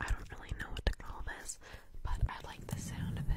I don't really know what to call this, but I like the sound of it.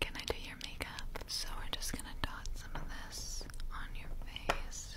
Can I do your makeup? So we're just going to dot some of this on your face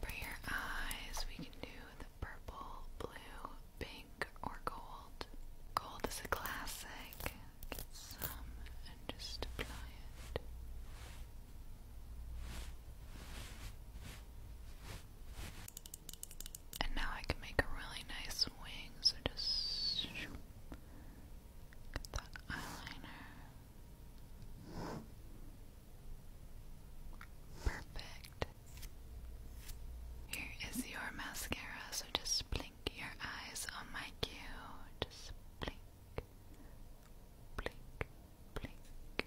for your eyes, we can do the purple, blue, pink, or gold. Gold is a classic. Get some and just apply it. And now I can make really nice wing, so just Get eyeliner. Perfect. Here is your mascara, so just blink your eyes on my cue. Just blink, blink, blink, blink,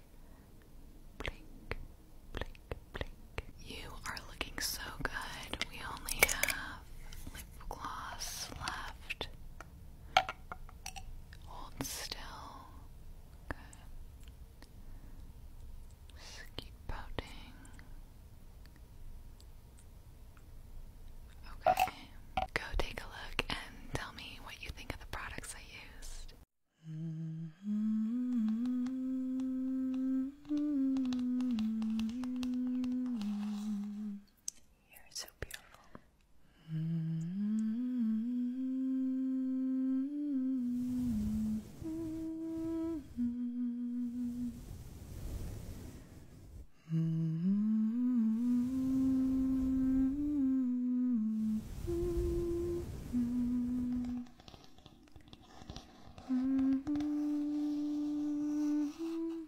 blink, blink. You are looking so good. We only have lip gloss left. Hold still. Good. Just keep pouting. Okay. Go take a look and tell me what you think of the products I used. Mm-hmm. You're so beautiful. Mm-hmm.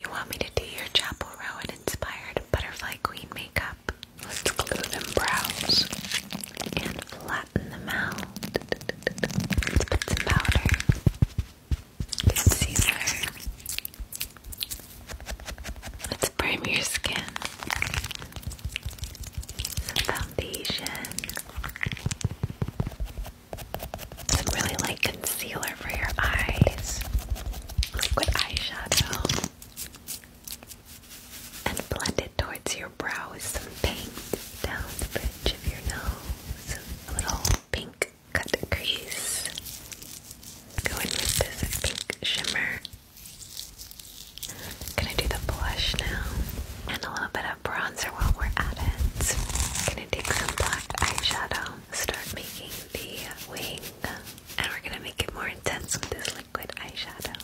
You want me to do your Chapel Row inspired butterfly queen makeup? Let's glue them brows and flowers flatten them out. Let's put some powder. Concealer. Let's prime your skin. Some foundation. Some really light concealer for your eyes. Liquid eyeshadow. And blend it towards your brow is some paint down the bridge of your nose. A little pink cut crease. Go with this pink shimmer. Gonna do the blush now. And a little bit of bronzer while we're at it. Gonna take some black eyeshadow, start making the wing, and we're gonna make it more intense with this liquid eyeshadow.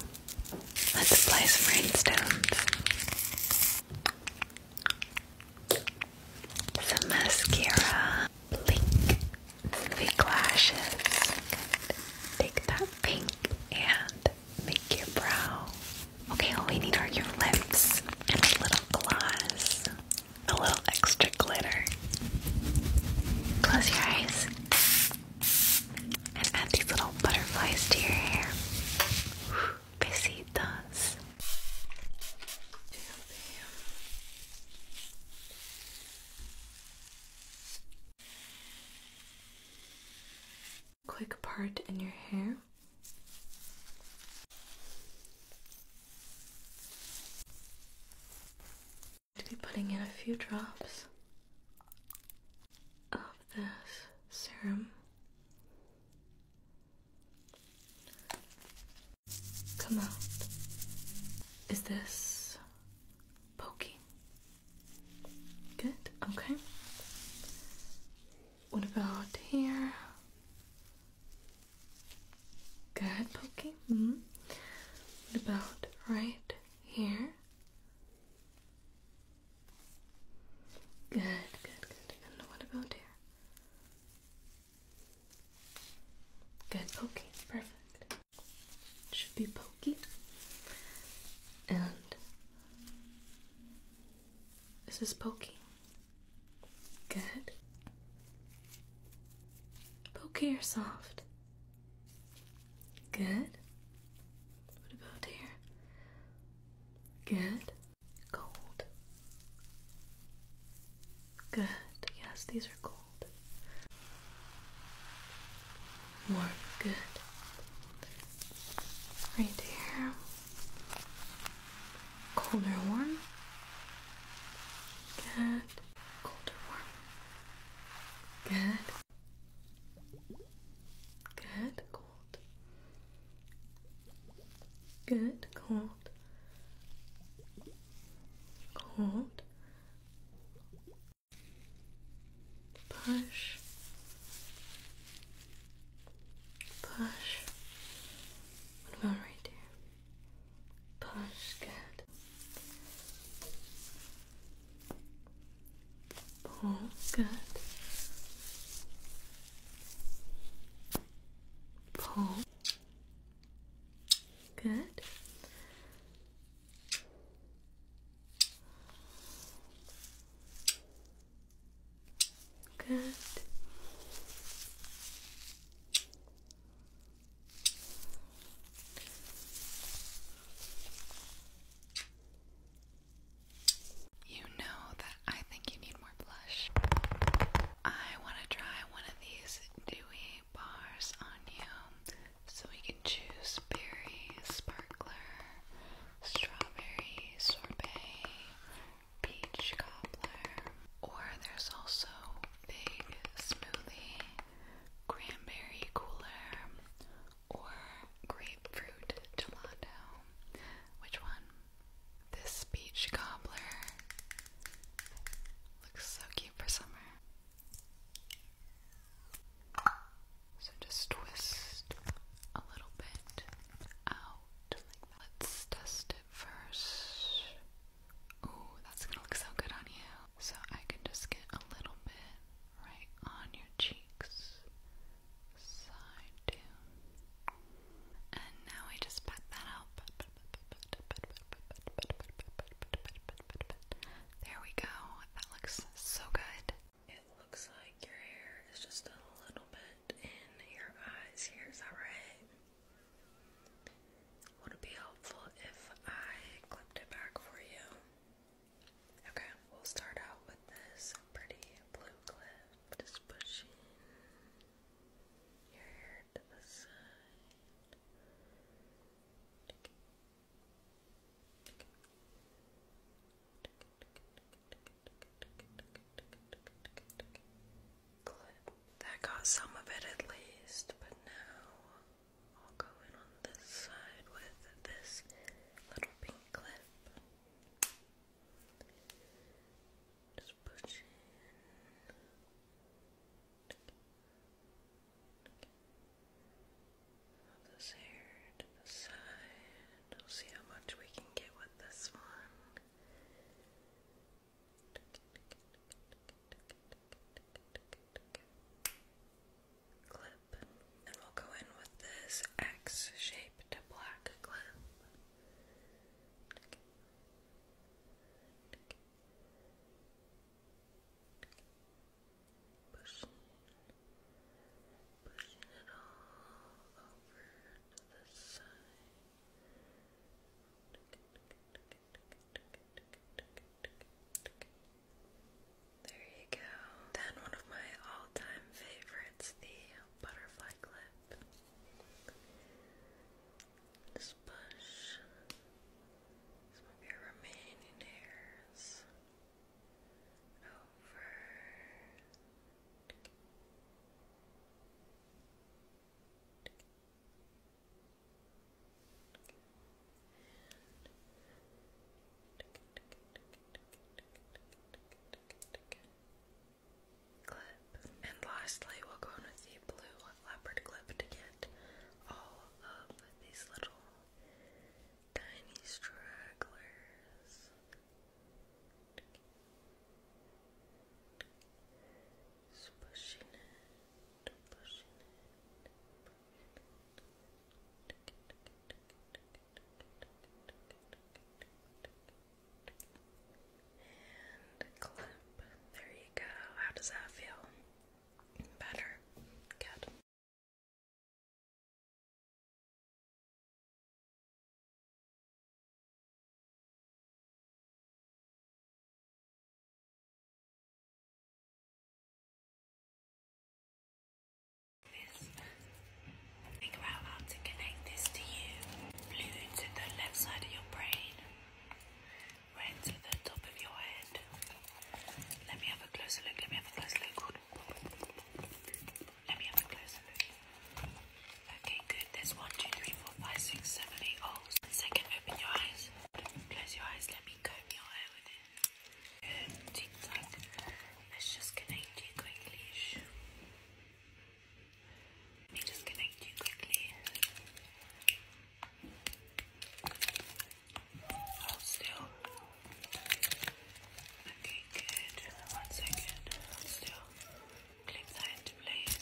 Let's apply some rainstones. Some mascara. Blink. fake lashes. Take that pink and make your brow. Okay, all we need are your lips and a little gloss. A little extra glitter. Close your eyes and add these little butterflies to your hair. Besitos. Quick part in your hair. To be putting in a few drops of this serum. Come out. Is this poking? Good, okay. What about here? Good, poking. -hmm. What about right here? Good, good, good. And what about here? Good, pokey. Perfect. should be pokey. And is this is pokey. Good. Pokey or soft? Good. What about here? Good. Cold. Good. Yes, these are cold. Warm. Good. Right there. Cold warm? Good. Cold warm? Good. Good. Cold. Good, cold. Cold. Push. Push. What about right there? Push, good. Oh, good. Pull. Oh. Good. Good. You know that I think you need more blush. I want to try one of these dewy bars on you so we can choose berry sparkler, strawberry sorbet, peach cobbler, or there's also fig smoothie, cranberry cooler, or grapefruit gelato? Which one? This peach cobbler looks so cute for summer. So just twist a little bit out Let's test it first. Ooh, that's gonna look so good on you. So I can just get a little bit right on your cheeks side too. And now I just pat that out. There we go. That looks so good. It looks like your hair is just a little bit in your eyes here, is that right? Would it be helpful if I clipped it back for you? Okay, we'll start out with this pretty blue clip. Just pushing your hair to the side. That got some of it at least, but now I'll go in on this side with this little pink clip. Just push in. Move this hair to the side. We'll see how much we can get with this one. Clip and we'll go in with this X shaped black clip. Pushing, it all over the side. There you go. Then one of my all-time favorites, the butterfly clip. Just push some of your remaining hairs over. And lastly, we'll go in with the blue leopard clip to get all of these little tiny stragglers. pushing it, pushing it. And clip. There you go. How does that feel? Better? Good. This. Think how to connect this to you. Blue to the left side of your brain. Red to the top of your head. Let me have a closer look. Let me have a closer look. Let me have a closer look. Okay, good. There's one, two, three, four, five, six, seven, eight holes. One second, open your eyes. Close your eyes. Let me comb your hair with it. Good. Tick tock. Let's just connect you quickly. Let me just connect you quickly. Oh, still. Okay, good. One second. still. Click that into place.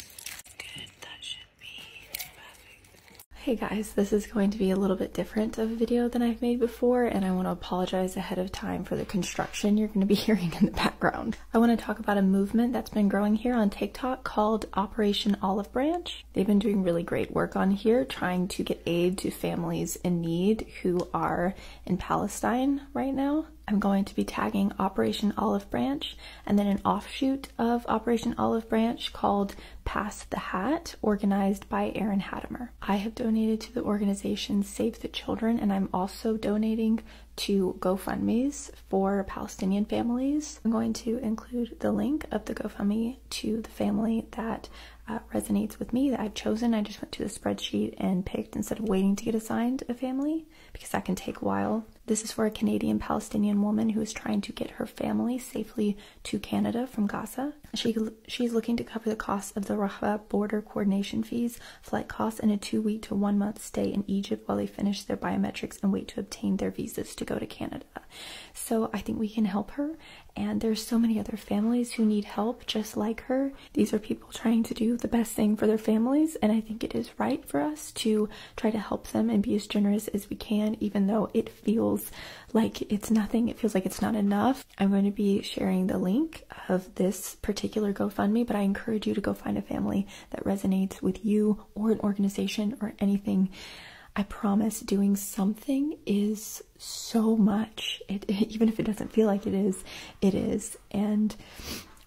Good. That should be perfect. Hey guys, this is going to be a little bit different of a video than I've made before, and I want to apologize ahead of time for the construction you're going to be hearing in the background. I want to talk about a movement that's been growing here on TikTok called Operation Olive Branch. They've been doing really great work on here trying to get aid to families in need who are in Palestine right now. I'm going to be tagging Operation Olive Branch and then an offshoot of Operation Olive Branch called Pass the Hat, organized by Aaron Hattimer. I have donated to the organization Save the Children, and I'm also donating to GoFundMe's for Palestinian families. I'm going to include the link of the GoFundMe to the family that uh, resonates with me that I've chosen. I just went to the spreadsheet and picked instead of waiting to get assigned a family because that can take a while. This is for a Canadian Palestinian woman who is trying to get her family safely to Canada from Gaza. She she's looking to cover the cost of the Raqqa border coordination fees flight costs, and a two week to one month stay in Egypt while they finish their biometrics and wait to obtain their visas to go to Canada. So I think we can help her. And there's so many other families who need help just like her. These are people trying to do the best thing for their families, and I think it is right for us to try to help them and be as generous as we can, even though it feels like it's nothing, it feels like it's not enough. I'm going to be sharing the link of this particular GoFundMe, but I encourage you to go find a family that resonates with you or an organization or anything. I promise doing something is so much. It, even if it doesn't feel like it is, it is. And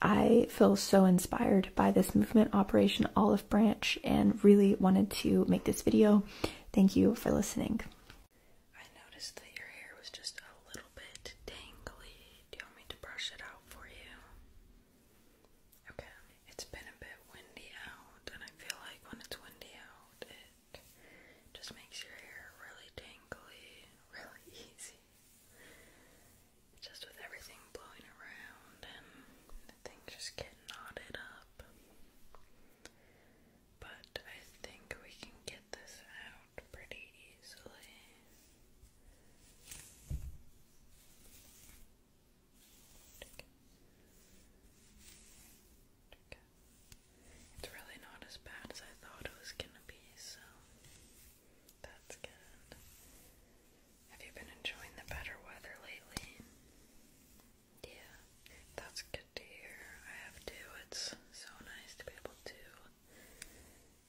I feel so inspired by this movement, Operation Olive Branch, and really wanted to make this video. Thank you for listening. I noticed that your hair was just a little bit tangly. Do you want me to brush it out for you? Okay. It's been a bit windy out, and I feel like when it's windy out, it just makes your hair really dangly, really easy. Just with everything blowing around and things just get knotted up. But I think we can get this out pretty easily. It's really not as bad as I thought it was gonna be, so that's good. Have you been enjoying the better weather lately? Yeah, that's good to hear. I have too. It's so nice to be able to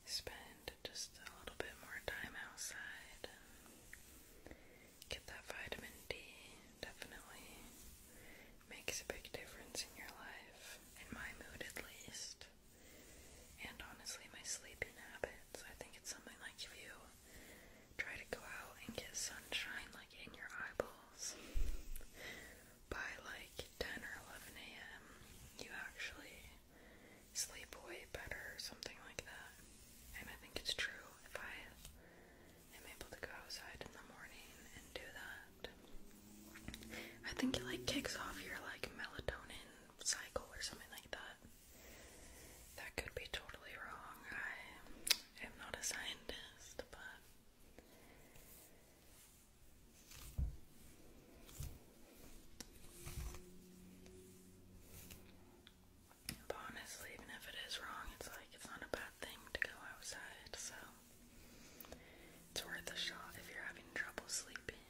spend just a little bit more time outside get that vitamin D. Definitely makes a big difference in your life, in my mood at least. And honestly, my sleeping habits. I think it's something like if you try to go out and get sunshine like in your eyeballs by like 10 or 11 a.m., you actually sleep way better or something like that. And I think it's true. If I am able to go outside in the morning and do that, I think it like kicks off your like melatonin cycle or something like that. That could be totally wrong. I am not a scientist, but but honestly, even if it is wrong, it's like it's not a bad thing to go outside, so it's worth a shot if you're having trouble sleeping.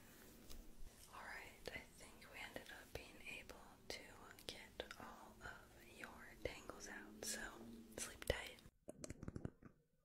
Alright, I think we ended up being able to get all of your tangles out, so sleep tight.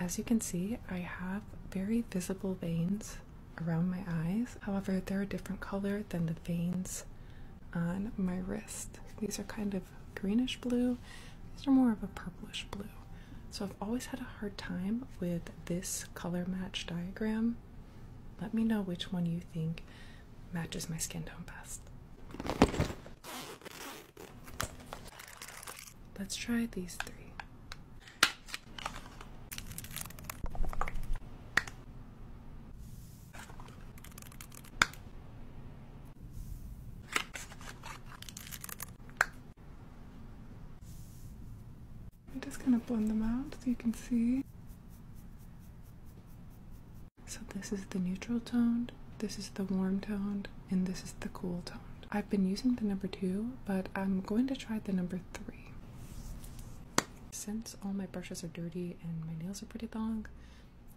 As you can see, I have very visible veins around my eyes. However, they're a different color than the veins on my wrist. These are kind of greenish blue, these are more of a purplish blue. So I've always had a hard time with this color match diagram. Let me know which one you think matches my skin tone best. Let's try these three. I'm just going to blend them out so you can see. So, this is the neutral toned, this is the warm toned, and this is the cool toned. I've been using the number two, but I'm going to try the number three. Since all my brushes are dirty and my nails are pretty long,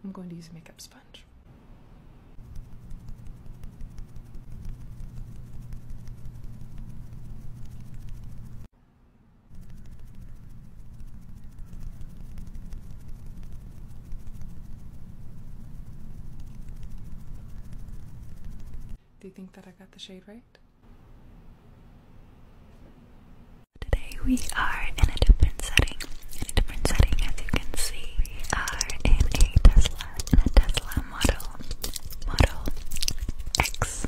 I'm going to use a makeup sponge. Do you think that I got the shade right? Today we are in a different setting. different setting, as you can see, we are in a Tesla, a Tesla model, model X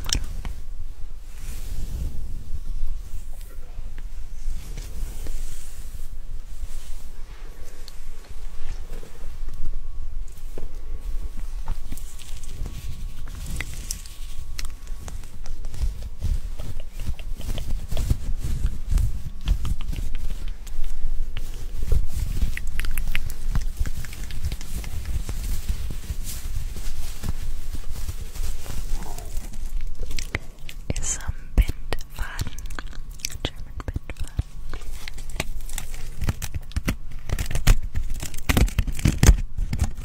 Ist so ein German Bindfaden.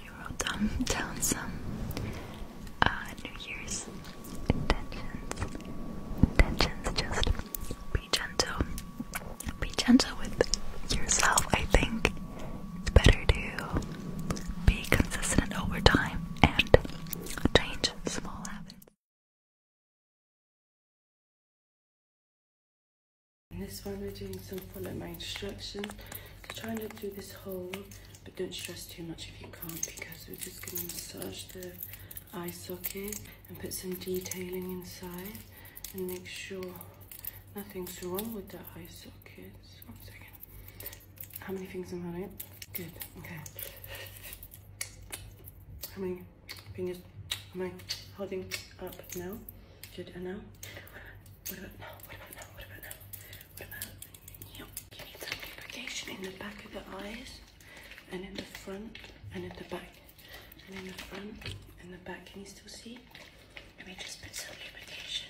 you wrote down, down some uh, New Year's intentions. Intentions, just be gentle. Be gentle with yourself, I think. It's better to be consistent over time and change small habits this one we're doing some follow my instructions. So try not to do this hole, but don't stress too much if you can't because we're just going to massage the eye socket and put some detailing inside and make sure nothing's wrong with the eye sockets. One second. How many fingers am I holding up now? Good, I know? What about now? What about now? What about now? What about you? You need some lubrication in the back of the eyes, and in the front, and in the back, and in the front, and the back. Can you still see? Let me just put some lubrication.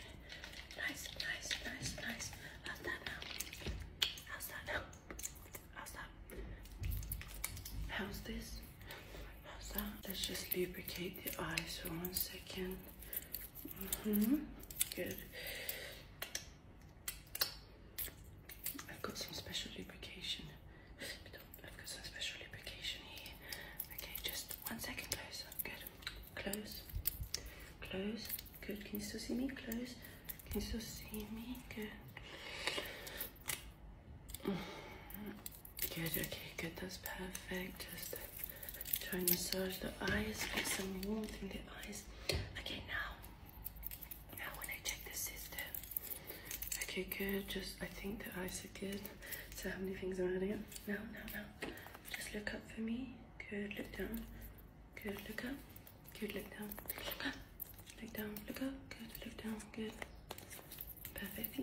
Nice, nice, nice, nice. How's that now? How's that now? How's that? How's this? Let's just lubricate the eyes for one second. -hmm. Good. I've got some special lubrication. I've got some special lubrication here. Okay, just one second closer. Good. Close. Close. Good. Can you still see me? Close. Can you still see me? Good. Mm-hmm. Good, okay, good, that's perfect. Just try and massage the eyes, get some warmth in the eyes. Okay, now, now when I check the system. Okay, good, just, I think the eyes are good. So how many things am I doing? No. No. No. Just look up for me. Good, look down. Good, look up. Good, look down. Look up. Look down, look up. Good, look down, good. Perfect.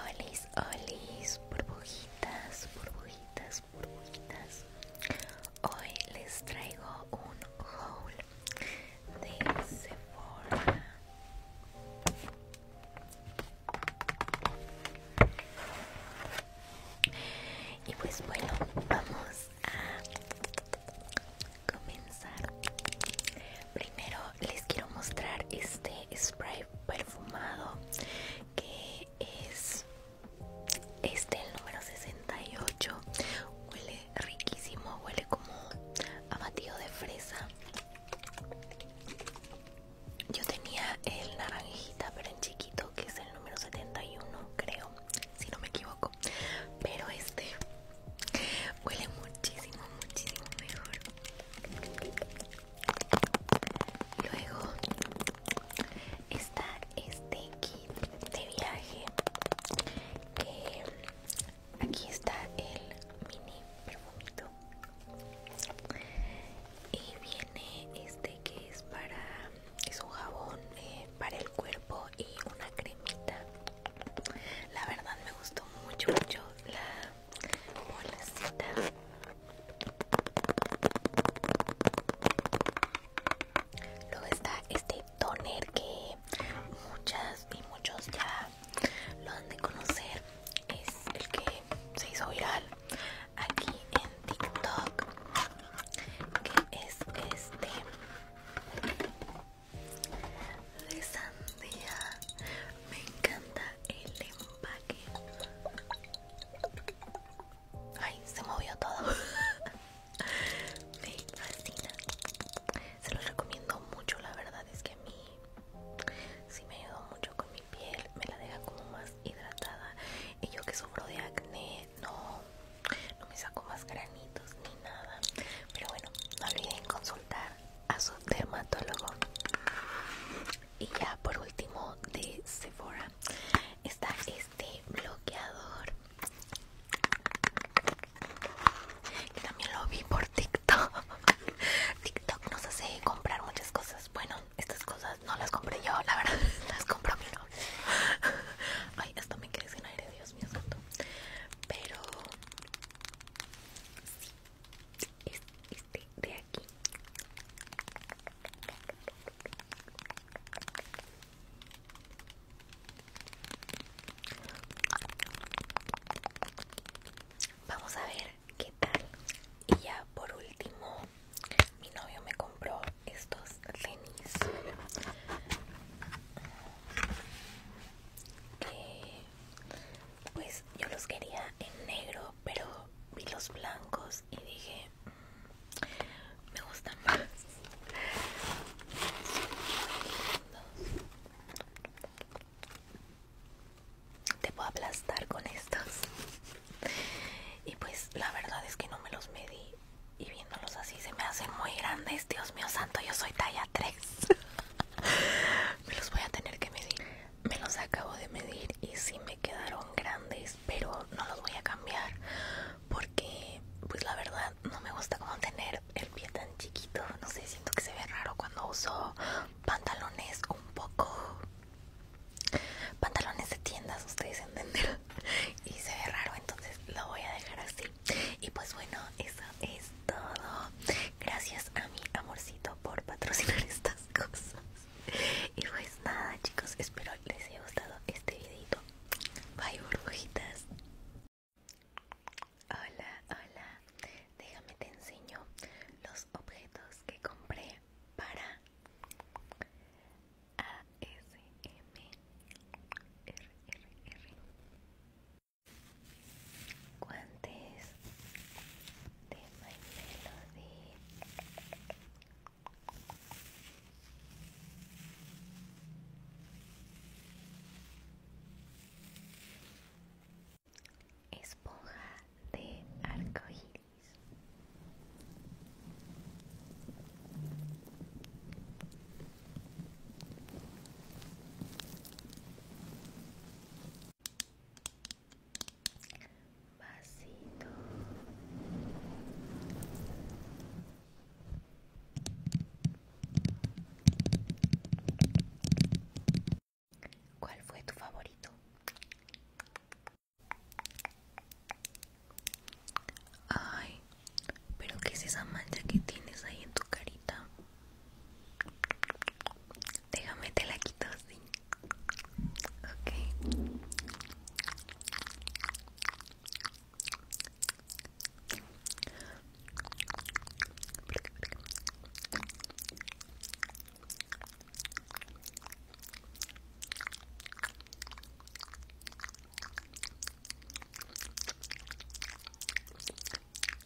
Olis, olis, burbujitas, burbujitas, burbujitas. Hoy les traigo un haul de Sephora. Y pues bueno, vamos a comenzar primero les quiero mostrar este spray perfumado que es este el número 68 huele riquísimo huele como a de fresa yo tenía el naranjita pero en chiquito que es el número 71 creo si no me equivoco pero este Huele muchísimo, muchísimo mejor. Luego está este kit de viaje. Que aquí está el mini perfumito. Y viene este que es para. Es un jabón eh, para el cuerpo y una cremita la verdad me gustó mucho, mucho la bolacita. Luego está este toner que muchas y muchos ya lo han de conocer. Es el que se hizo viral aquí en TikTok. Que es este de sandía me encanta el empaque ay se movió todo me fascina se los recomiendo mucho la verdad es que a mí sí me ayudó mucho con mi piel me la deja como más hidratada y yo que sufro de acné no no me saco más granitos ni nada pero bueno no olviden consultar a su dermatólogo. Y ya por último de Sephora está este bloqueador. Que también lo vi por TikTok. TikTok nos hace comprar muchas cosas. Bueno, estas cosas no las compré yo, la verdad, las compró mi novio. Ay, esto me quedé sin aire, Dios mío asunto Pero este de aquí vamos a ver qué tal y ya por último mi novio me compró estos lenis pues yo los quería en negro pero vi los blancos y dije mm, me gustan más te puedo aplastar con estos y pues la verdad es que no me los medí y viéndolos así se me hacen muy grandes dios mío santo yo soy talla 3 me los voy a tener que medir. Me los acabo de medir y sí me quedaron grandes, pero no los voy a cambiar porque, pues la verdad, no me gusta como tener el pie tan chiquito. No sé, siento que se ve raro cuando uso pantalones un poco. Pantalones de tiendas, ustedes entenderán. Y se ve raro, entonces lo voy a dejar así. Y pues bueno, eso es todo. Gracias a mi amorcito por patrocinar estas cosas. Y pues nada, chicos, espero les haya gustado este videito. Bye, burbujitas. Hola, hola. Déjame te enseño los objetos que compré para guantes de My de... esponja de arcoíris vasito ¿Cuál fue tu favorito? Ay, pero ¿qué es esa mancha que tienes ahí en tu carita? Déjame te la quito ¿sí? Ok.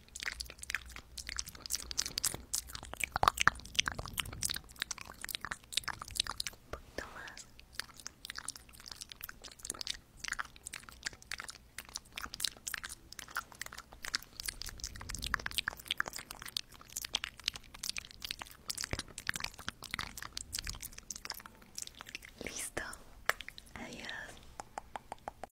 Un poquito Listo. Adiós.